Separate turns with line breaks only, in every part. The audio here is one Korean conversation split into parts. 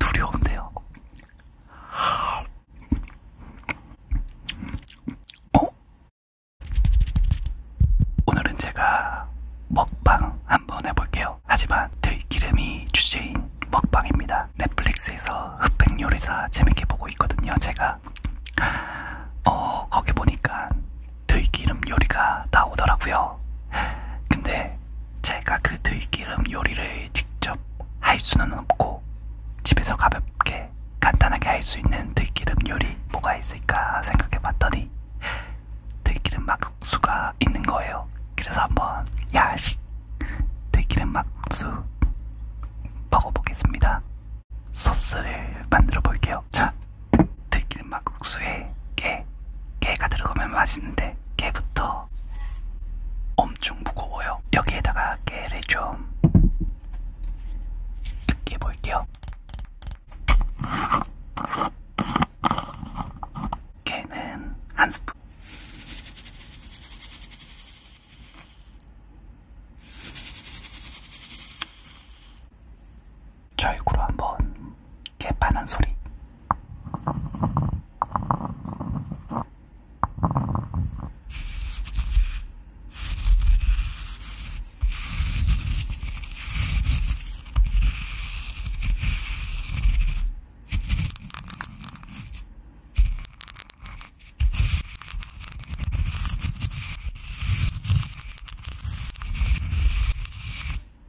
두려운데요. 어? 오늘은 제가 먹방 한번 해볼게요. 하지만 들기름이 주제인 먹방입니다. 넷플릭스에서 흑백 요리사 재밌게 보고 있거든요. 제가 어 거기 보니까 들기름 요리가 나오더라고요. 근데 제가 그 들기름 요리를 직접 할 수는 없고 집에서 가볍게 간단하게 할 수 있는 들기름 요리 뭐가 있을까 생각해봤더니 들기름 막국수가 있는 거예요. 그래서 한번 야식 들기름 막국수 먹어보겠습니다. 소스를 만들어 볼게요. 자, 들기름맛 국수에 깨, 깨가 들어가면 맛있는데 깨부터 엄청 무거워요. 여기에다가 깨를 좀 으깨 볼게요. 깨는 한 스푼. 절구로 한번 개판한 소리.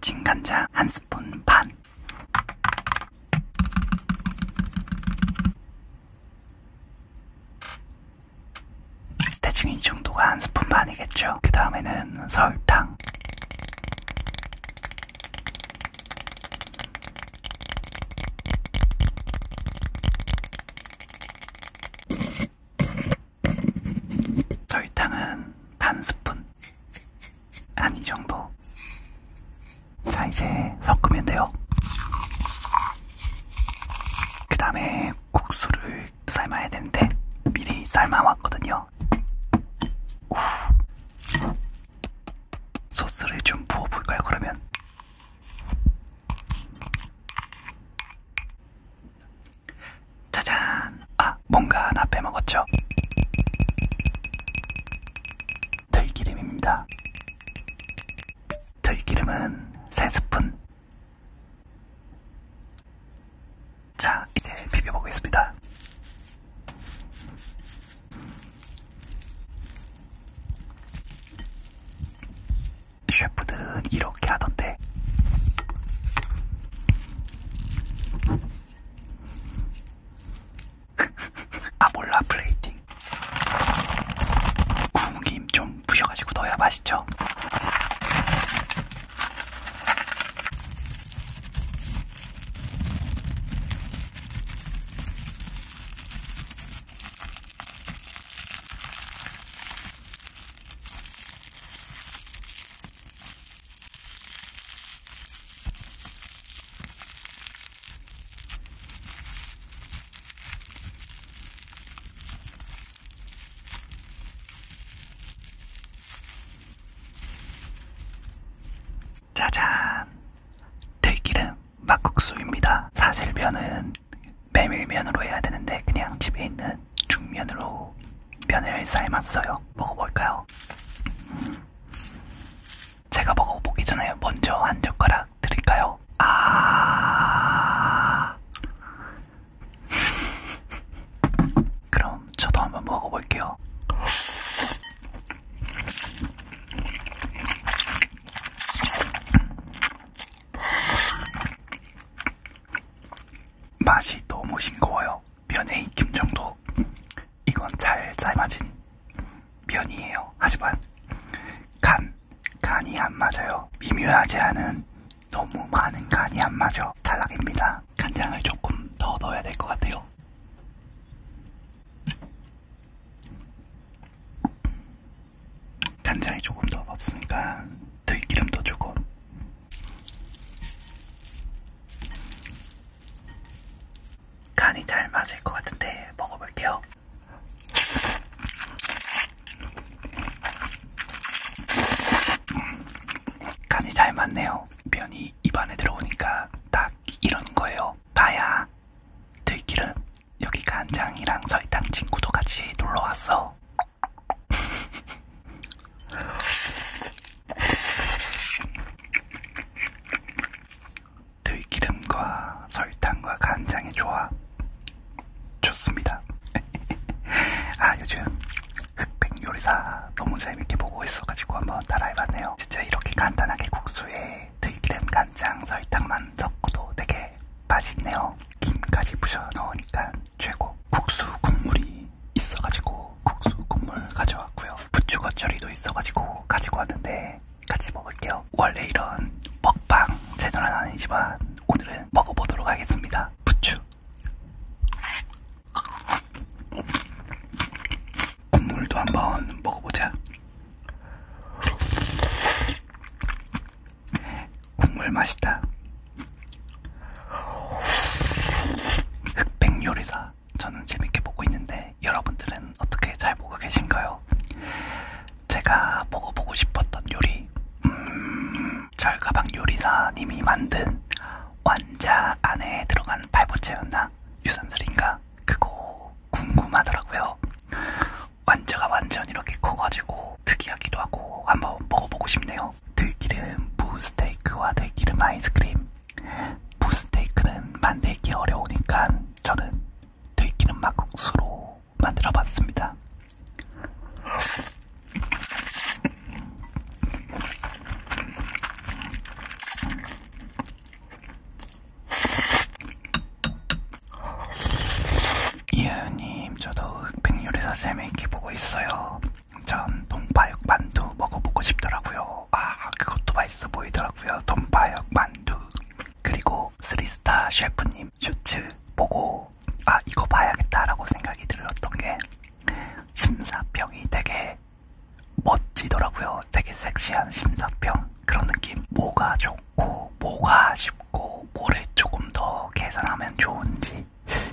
진간장 한 스푼 반 대충 이 정도가 한 스푼 반이겠죠. 그 다음에는 설탕. 설탕은 반 스푼. 한 이 정도. 자, 이제 섞으면 돼요. 그 다음에 국수를 삶아야 되는데 미리 삶아왔거든요. 오. 소스를 좀 부어볼까요, 그러면? 짜잔! 아, 뭔가 하나 빼먹었죠? 들기름입니다. 들기름은 3스푼, 자, 이제 비벼보겠습니다. 셰프들은 이렇게 하던데. 아몰라 플레이팅. 구김 좀좀 부셔가지고 넣어야 맛있죠. 짜잔! 들기름 막국수입니다. 사실 면은 메밀면으로 해야 되는데 그냥 집에 있는 중면으로 면을 삶았어요. 먹어볼까요? 음. 제가 먹어보기 전에 먼저 한 젓가락 살짝 드릴까요? 아. 그럼 저도 한번 먹어볼게요. 맛이 너무 싱거워요. 면의 익힘 정도. 이건 잘 삶아진 면이에요. 하지만 간, 간이 안 맞아요. 미묘하지 않은 너무 많은 간이 안 맞아. 탈락입니다. 간장을 조금 더 넣어야 될 것 같아요. 간장이 조금 더 넣었으니까 들기름도 조금. 간이 잘 맞을 것 같은데 먹어볼게요. 간이 잘 맞네요. 면이 입안에 들어오니까 딱 이런 거예요. 가야 들기름 여기 간장이랑 설탕 친구도 같이 놀러 왔어. 들기름과 설탕과 간장의 조합 좋습니다. 아 요즘 흑백 요리사 너무 재밌게 보고 있어가지고 한번 따라해봤네요. 진짜 이렇게 간단하게 국수에 들기름, 간장, 설탕만 섞어도 되게 맛있네요. 김까지 부셔 넣으니까 최고. 국수 국물이 있어가지고 국수 국물 가져왔고요. 부추 겉절이도 있어가지고 가지고 왔는데 같이 먹을게요. 원래 이런 먹방 채널은 아니지만 오늘은 먹어보도록 하겠습니다. 부추. 국물도 한번 먹어보자. 국물 맛있다. 흑백 요리사. 저는 재밌게 먹고 있는데 있는데 여러분들은 어떻게 잘 보고 계신가요? 제가 먹어보고 싶었던 요리 음... 절가방 요리사님이 만든 완자 안에 들어간 발보채였나? 유산슬인가? 그거 궁금하더라고요. 완자가 완전 이렇게 커가지고 특이하기도 하고 한번 먹어보고 싶네요. 들기름 무스테이크와 들기름 아이스크림 무스테이크는 만들기 어려우니까 저는 들기름 막국수로 만들어봤습니다. 이은님, 저도 백요리사 재미있게 보고 있어요. 전 동파육 만두 먹어보고 싶더라고요. 아, 그것도 맛있어 보이더라고요. 동파육 만두. 그리고 스리스타 셰프님 슈츠 보고 아 이거 봐야겠다라고 생각이 들었던 게 심사평이 되게 멋지더라고요. 되게 섹시한 심사평 그런 느낌. 뭐가 좋고 뭐가 쉽고 뭐를 조금 더 개선하면 좋은지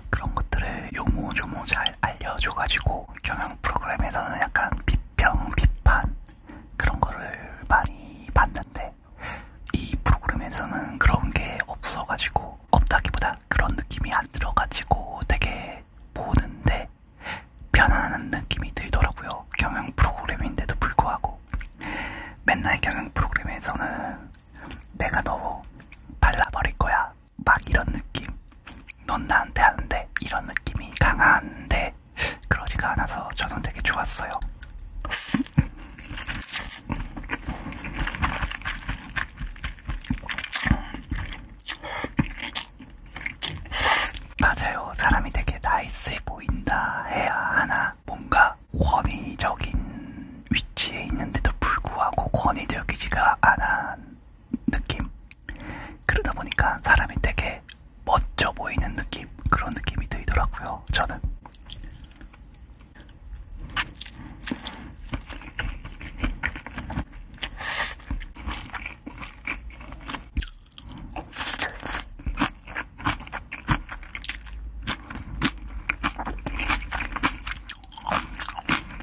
그런 것들을 요모조모 잘 알려줘가지고 경영 프로그램에서는 약간 병비판 그런 거를 많이 봤는데 이 프로그램에서는 그런 게 없어가지고 없다기보다 그런 느낌이 안 들어가지고 되게 보는데 편안한 느낌이 들더라고요. 경영 프로그램인데도 불구하고 맨날 경영 프로그램에서는 내가 너 발라버릴 거야 막 이런 느낌 넌 나한테 안돼 이런 느낌이 강한데 그러지가 않아서 저는 되게 좋았어요. 맞아요. 사람이 되게 나이스해 보인다 해야 하나 뭔가 권위적인 위치에 있는데도 불구하고 권위적이지가 않은 느낌? 그러다 보니까 사람이 되게 멋져 보이는 느낌, 그런 느낌이 들더라고요, 저는.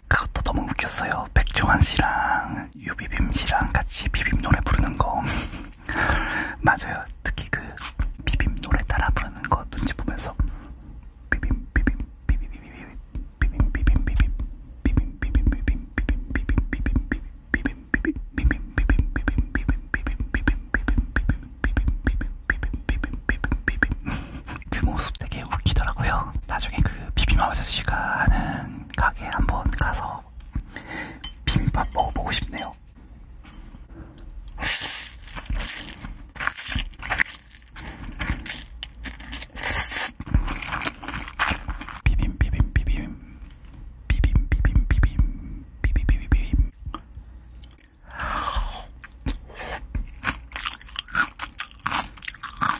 그것도 너무 웃겼어요. 백종환 씨랑 저는 유비빔 씨랑 같이 비빔 노래 부르는 거 맞아요. 특히 그 비빔 노래 따라 부르는 거 눈치 보면서 비빔 비빔 비빔 비빔 비빔 비빔 비빔 비빔 비빔 비빔 비빔 비빔 비빔 비빔 비빔 비빔 비빔 그 모습 되게 웃기더라고요. 나중에 그 비빔 아저씨가 하는 가게 한번 가서 비빔밥 먹어보고 싶네요. 비빔 비빔 비빔 비빔 비빔 비빔 비빔 비빔 비빔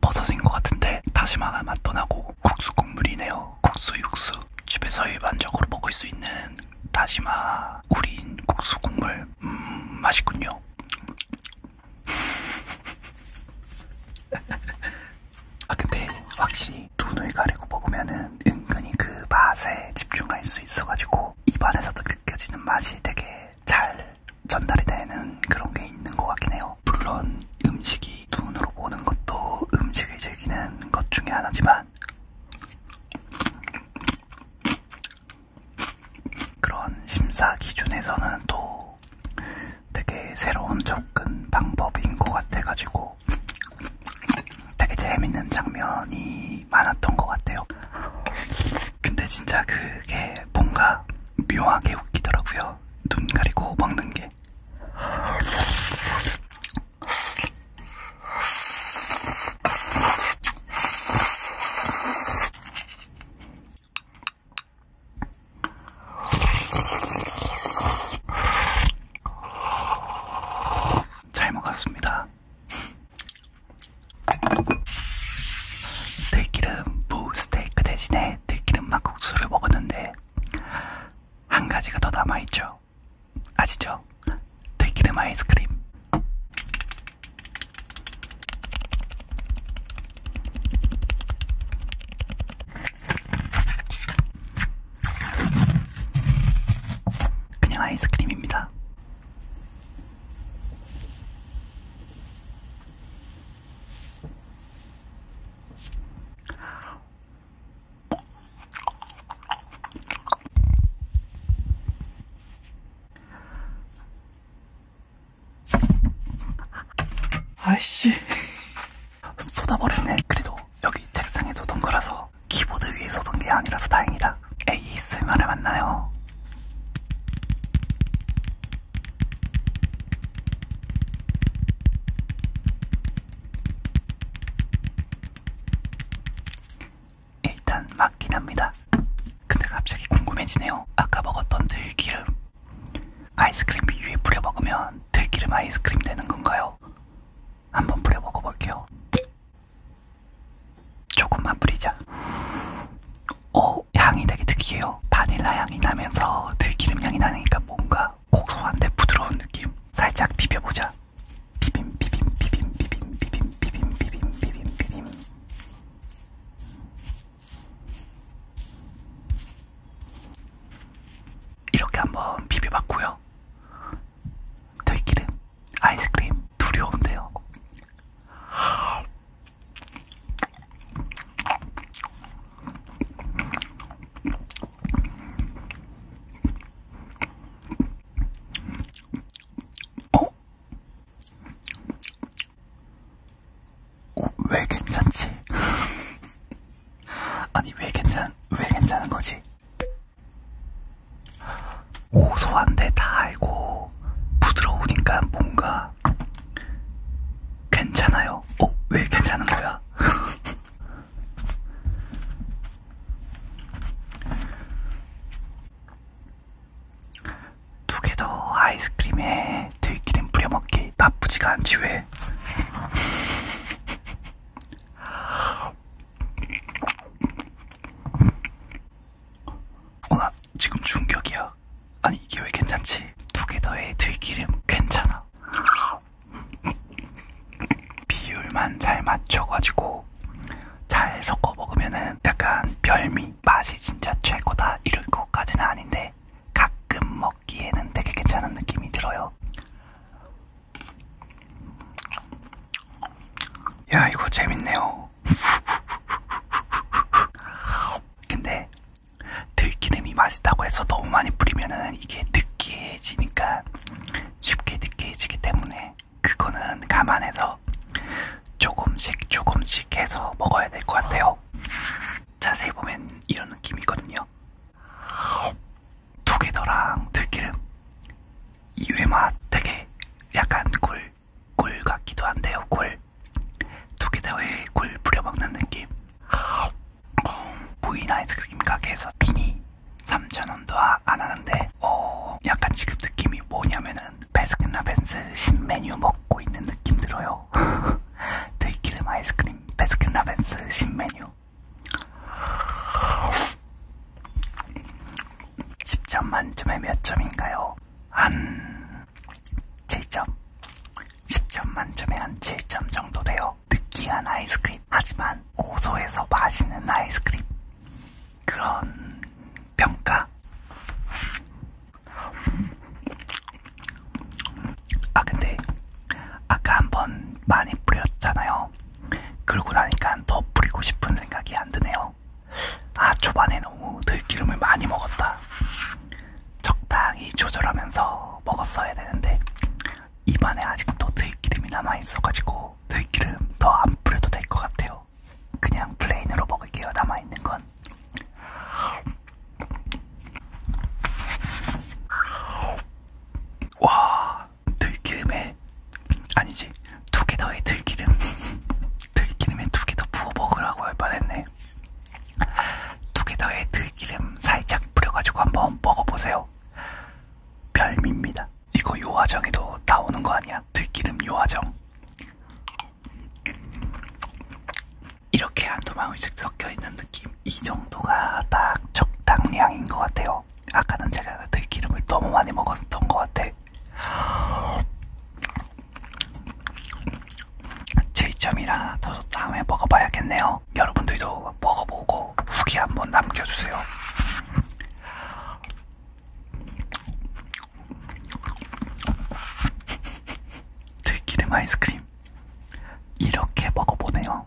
버섯인 것 같은데 다시마가 맛 떠나고 국수 국물이네요. 국수 육수. 집에서 일반적으로 먹을 수 있는 다시마 구린 국수 국물. 음 맛있군요. 아 근데 확실히 눈을 가리고 먹으면은 은근히 그 맛에 집중할 수 있어가지고 입안에서도 느껴지는 맛이 되게 잘 전달이 되는 그런 게 있는 것 같긴 해요. 물론 음식이 눈으로 보는 것도 음식을 즐기는 것 중에 하나지만 그런 심사 기준에서는 또 되게 새로운 접근 방법인 것 같아가지고 되게 재밌는 장면이 많았던 것 같아요. 근데 진짜 그게 뭔가 묘하게 웃기더라고요. 눈 가리고 먹는 게. 잘 먹었습니다. 들기름 무 스테이크 대신에 들기름 막국수를 먹었는데 한 가지가 더 남아있죠. 아시죠? 들기름 아이스크림. 그냥 아이스크림입니다. 아이씨 쏟아버렸네 그래도 여기 책상에 쏟은 거라서 키보드 위에 쏟은 게 아니라서 다행이다 ASMR을 만나요 일단 맞긴 합니다. 근데 갑자기 궁금해지네요. 아까 먹었던 들기름 아이스크림 위에 뿌려 먹으면 들기름 아이스크림 되는 건가요? 한번 뿌려 먹어볼게요. 조금만 뿌리자. 오, 어, 향이 되게 특이해요. 바닐라 향이 나면서 들기름 향이 나니까 뭔가 고소한데 부드러운 느낌. 살짝 비벼보자. 비빔, 비빔, 비빔, 비빔, 비빔, 비빔, 비빔, 비빔, 비빔. 이렇게 한번 비벼봤고요. 들기름, 아이스크림, 좀 두려운데요. 어? 어, 왜 괜찮지? 아니 왜 괜찮 왜 괜찮은 거지? 고소한데 달고 부드러우니까 뭔가 괜찮아요. 어? 왜 괜찮은 거야? 두 개 더 아이스크림에 들기름 뿌려먹기 나쁘지가 않지 왜? 어나 지금 충격이야. 아니 이게 왜 괜찮지? 두 개 더해 들기름 괜찮아. 비율만 잘 맞춰가지고 잘 섞어 먹으면은 약간 별미 맛이 진짜 최고다 이럴 것까지는 아닌데 가끔 먹기에는 되게 괜찮은 느낌이 들어요. 야 이거 재밌네요. 근데 들기름이 맛있다고 해서 너무 많이 뿌리면은 이게 느끼해지니까 쉽게 느끼해지기 때문에 그거는 감안해서 조금씩 조금씩 해서 먹어야 될 것 같아요. 자세히 보면 이런 느낌이거든요. 두개더랑 들기름 이외맛 되게 약간 꿀꿀 같기도 한데요. 꿀. 두 개더에 꿀 뿌려먹는 느낌. 어, 보인 아이스크림 가게에서 미니 3,000원도 아, 안 하는데 어, 약간 지금 느낌이 뭐냐면은 베스킨라빈스 신메뉴 먹고 있는 느낌 들어요. 들기름 아이스크림 베스킨라빈스 신메뉴. 10점 만점에 몇 점인가요? 한 7점 10점 만점에 한 7점 정도 돼요 느끼한 아이스크림 하지만 고소해서 맛있는 아이스크림 그런 평가 아 근데 아까 한번 많이 뿌렸잖아요 그러고 나니까 더 뿌리고 싶은 생각이 안 드네요 아 초반에 너무 들기름을 많이 먹었다. 적당히 조절하면서 먹었어야 되는데 입안에 아직도 들기름이 남아있어가지고 들기름 더 안 뿌려도 될 것 같아요. 그냥 플레인으로 먹을게요. 남아있는 건. 와 들기름에 아니지 두 개 더의 들기름 들기름에 두 개 더 부어 먹으라고 할 뻔했네 두 개 더의 들기름 살짝 뿌려가지고 한번 먹어보세요 별미입니다 이거 요화정에도 나오는 거 아니야 들기름 요화정 이렇게 한 도망씩 섞여있는 느낌 이 정도가 딱 적당량인 것 같아요 먹어서 아까는 제가 들기름을 그 너무 많이 먹었던 것 같아. 제이점이라 저도 다음에 먹어봐야겠네요. 여러분들도 먹어보고 후기 한번 남겨주세요. 들기름 아이스크림 이렇게 먹어보네요.